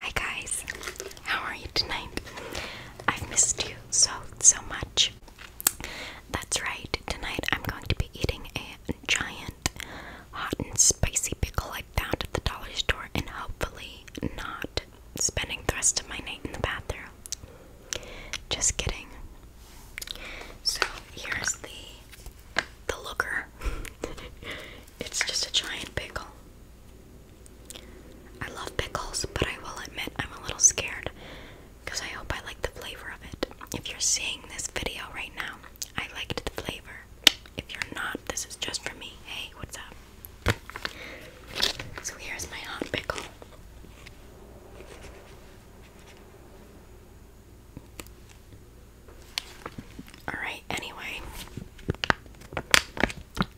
Hi guys, how are you tonight? I've missed you so, so much. That's right, tonight I'm going to be eating a giant hot and spicy pickle I found at the dollar store and hopefully not spending the rest of my night in the bathroom. Just kidding. So here's the the looker. it's just a giant pickle. I love pickles, but I will admit I'm a little scared because I hope I like the flavor of it. If you're seeing this video right now, I liked the flavor. If you're not, this is just for me. Hey, what's up? So here's my hot pickle. Alright, anyway.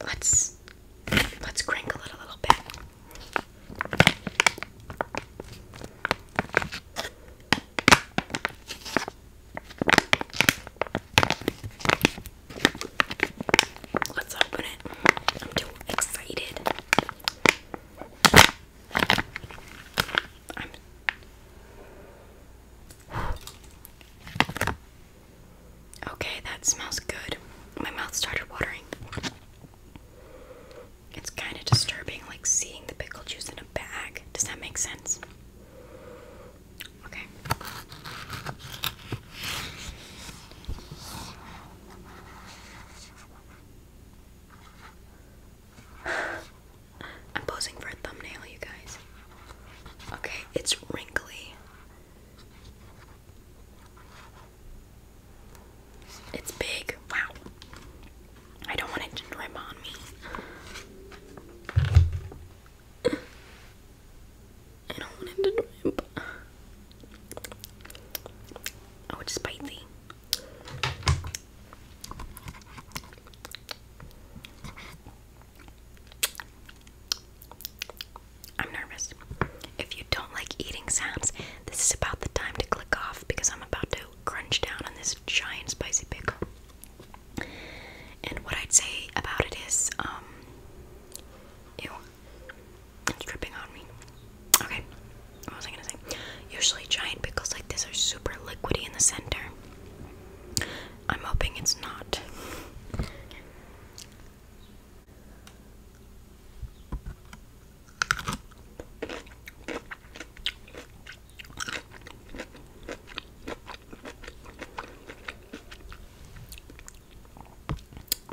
Let's let's crinkle it a little bit. Let's open it. I'm too excited. Okay, that smells good. My mouth started watering. It's kind of disturbing, like seeing the pickle juice in a bag. Does that make sense? Okay. I'm posing for a thumbnail, you guys. Okay, it's wrinkly. It's big. Wow. I don't want it to drip on me. I don't want it to drip. Oh, it's spicy. I'm nervous. If you don't like eating sounds, this is about the time to click off because I'm about to crunch down on this giant spicy pickle. And what I'd say about it is, um, ew, it's dripping on me. Okay, what was I gonna say? Usually, giant pickles like this are super liquidy in the center, I'm hoping it's not.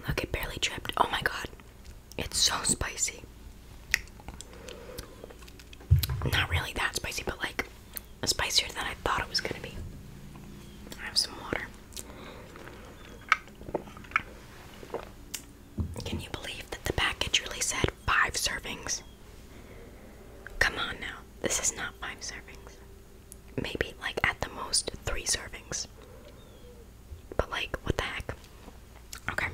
Look, it barely dripped. Oh my god, it's so spicy. Not really that spicy, but like spicier than I thought it was gonna be. I have some water. Can you believe that the package really said five servings? Come on now, this is not five servings. Maybe, like, at the most, three servings. But, like, what the heck? Okay.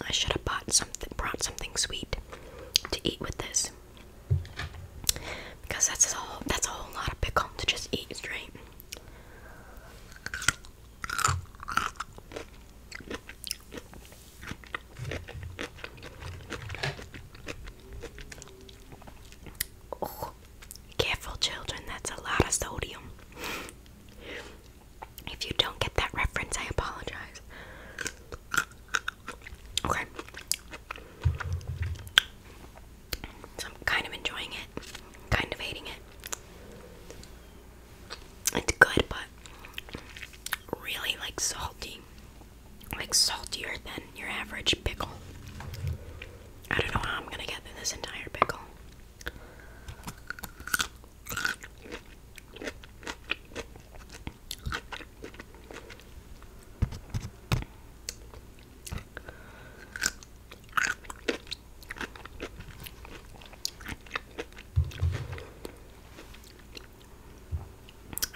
I should have bought something, brought something sweet to eat with this, because that's a that's a whole lot of pickle to just eat straight. Oh, careful, children, that's a lot of sodium. If you don't get that reference, I apologize. Okay. So I'm kind of enjoying it, kind of hating it. It's good, but really like salty like saltier than your average pickle. I don't know how I'm gonna get through this entire pickle.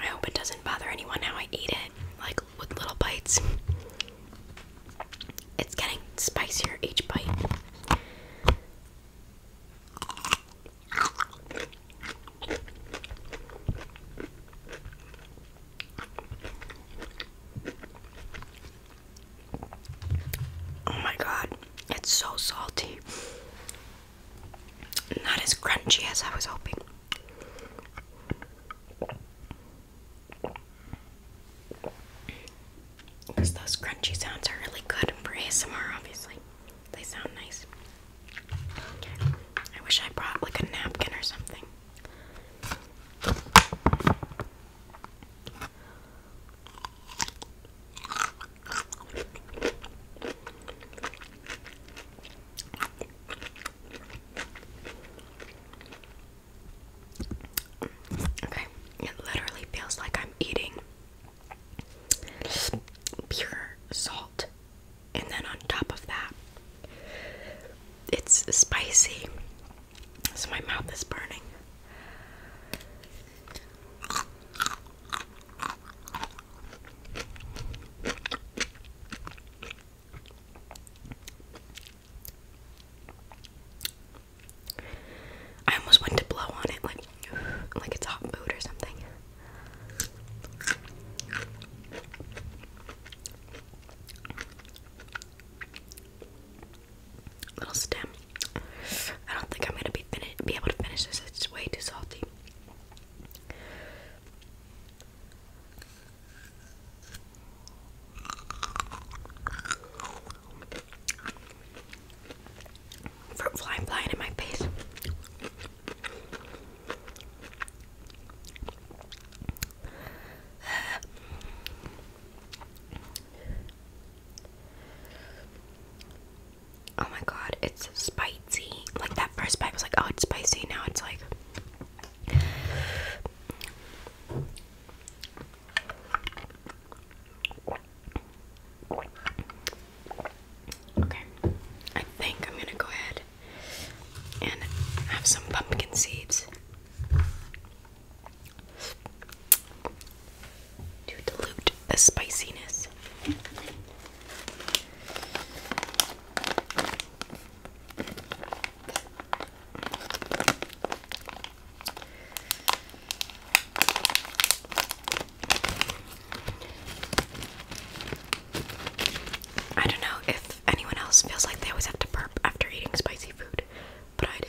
I hope it doesn't bother anyone how I eat it, like with little bites. It's getting spicier each bite. Oh my god, it's so salty. Not as crunchy as I was hoping. Because those crunchy sounds are really good for ASMR, obviously. They sound nice. I wish I brought like a napkin or something. Okay, it literally feels like I'm eating pure salt, and then on top of that, it's spicy, so my mouth is burning. I almost went to blow on it like like it's hot food or something. Little stem. I don't think I'm gonna be be able to finish this. It's way too salty. Fruit flying, flying in my face. Oh my god, it's spicy. Like that first bite was like, oh, it's spicy. Now it's like, Okay, I think I'm gonna go ahead and have some pumpkin seeds to dilute the spiciness. I don't know if anyone else feels like they always have to burp after eating spicy food, but I do.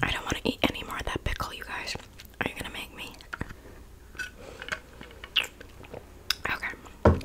I don't want to eat any more of that pickle, you guys. Are you gonna make me? Okay.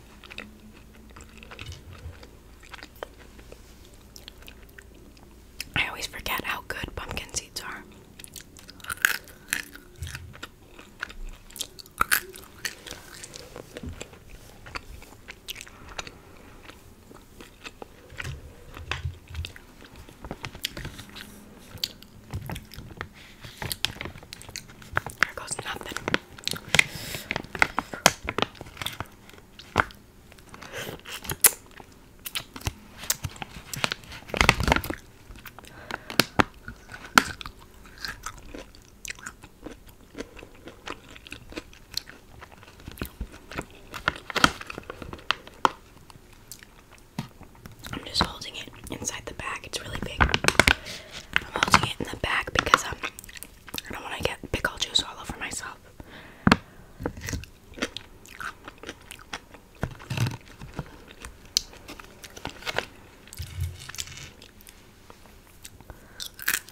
I always forget how good pumpkin seeds are. There goes nothing. I'm just holding it inside the bag. It's really big. I'm holding it in the back because I am um, I don't want to get pickle juice all over myself.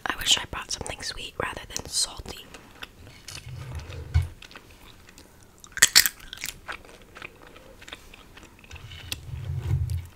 I wish I brought something sweet rather than salty.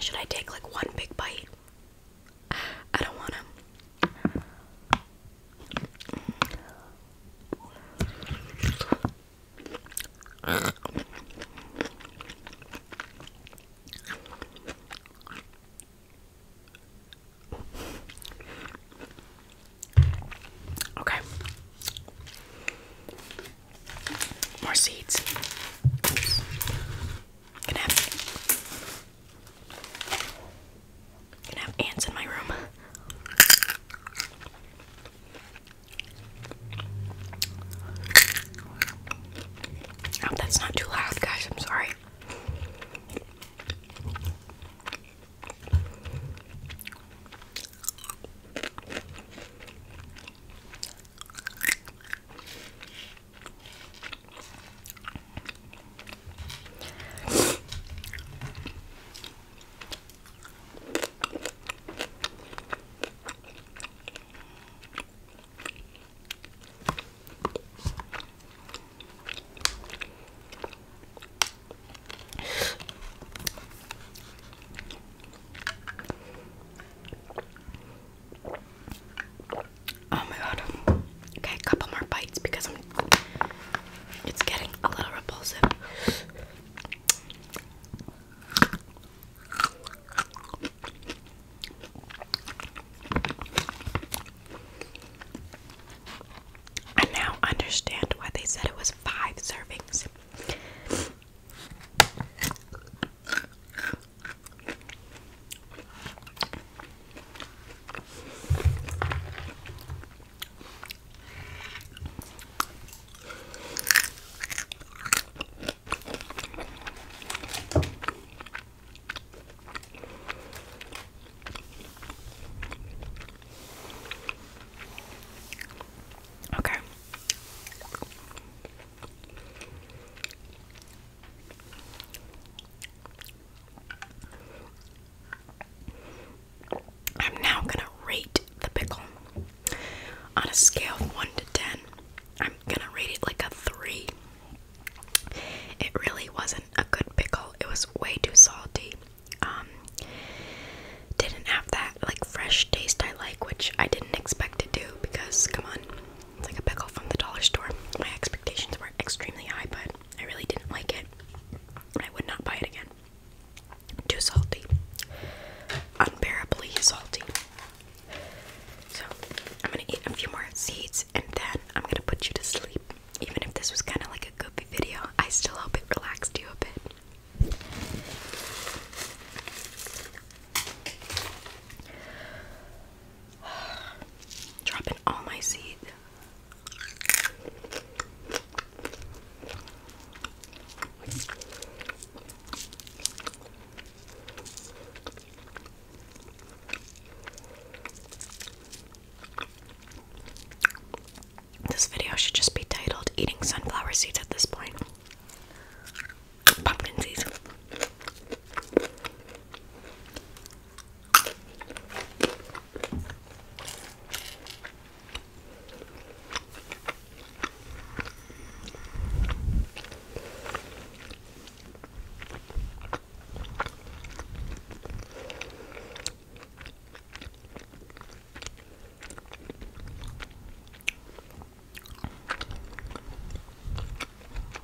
Should I take like one big bite? I don't want to. Okay. More seeds. Oops. Can have can have ants in my room. I oh, that's not too loud, guys. I'm sorry. Oh my god. Okay, a couple more bites because it's getting a little repulsive. I now understand why they said it was five servings. Okay. I'm now going to rate the pickle. On a scale of 1 to 10, I'm gonna rate it like a 3. It really wasn't a good pickle, it was way too salty. Um, didn't have that like fresh taste I like, which I didn't expect to do because come on, it's like a pickle from the dollar store. My expectations were extremely high, but I really didn't like it. I would not buy it again. Too salty. Unbearably salty. So, I'm gonna eat a few more seeds and then I'm gonna put you to sleep. Even if this was kind of like a goofy video, I still hope it relaxed you a bit. Dropping all my seed. This video should just be titled Eating Sunflower Seeds at this point. Pumpkin seeds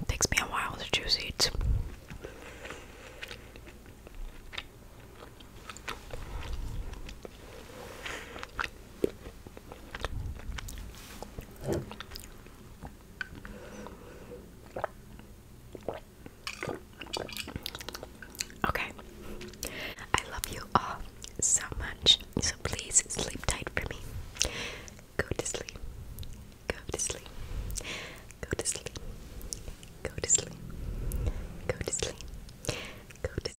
takes me a while to choose each. Okay. I love you all so much. So please sleep tight for me. Go to sleep. Go to sleep. Go to sleep. Go to sleep. Go to sleep. Go to sleep. Go to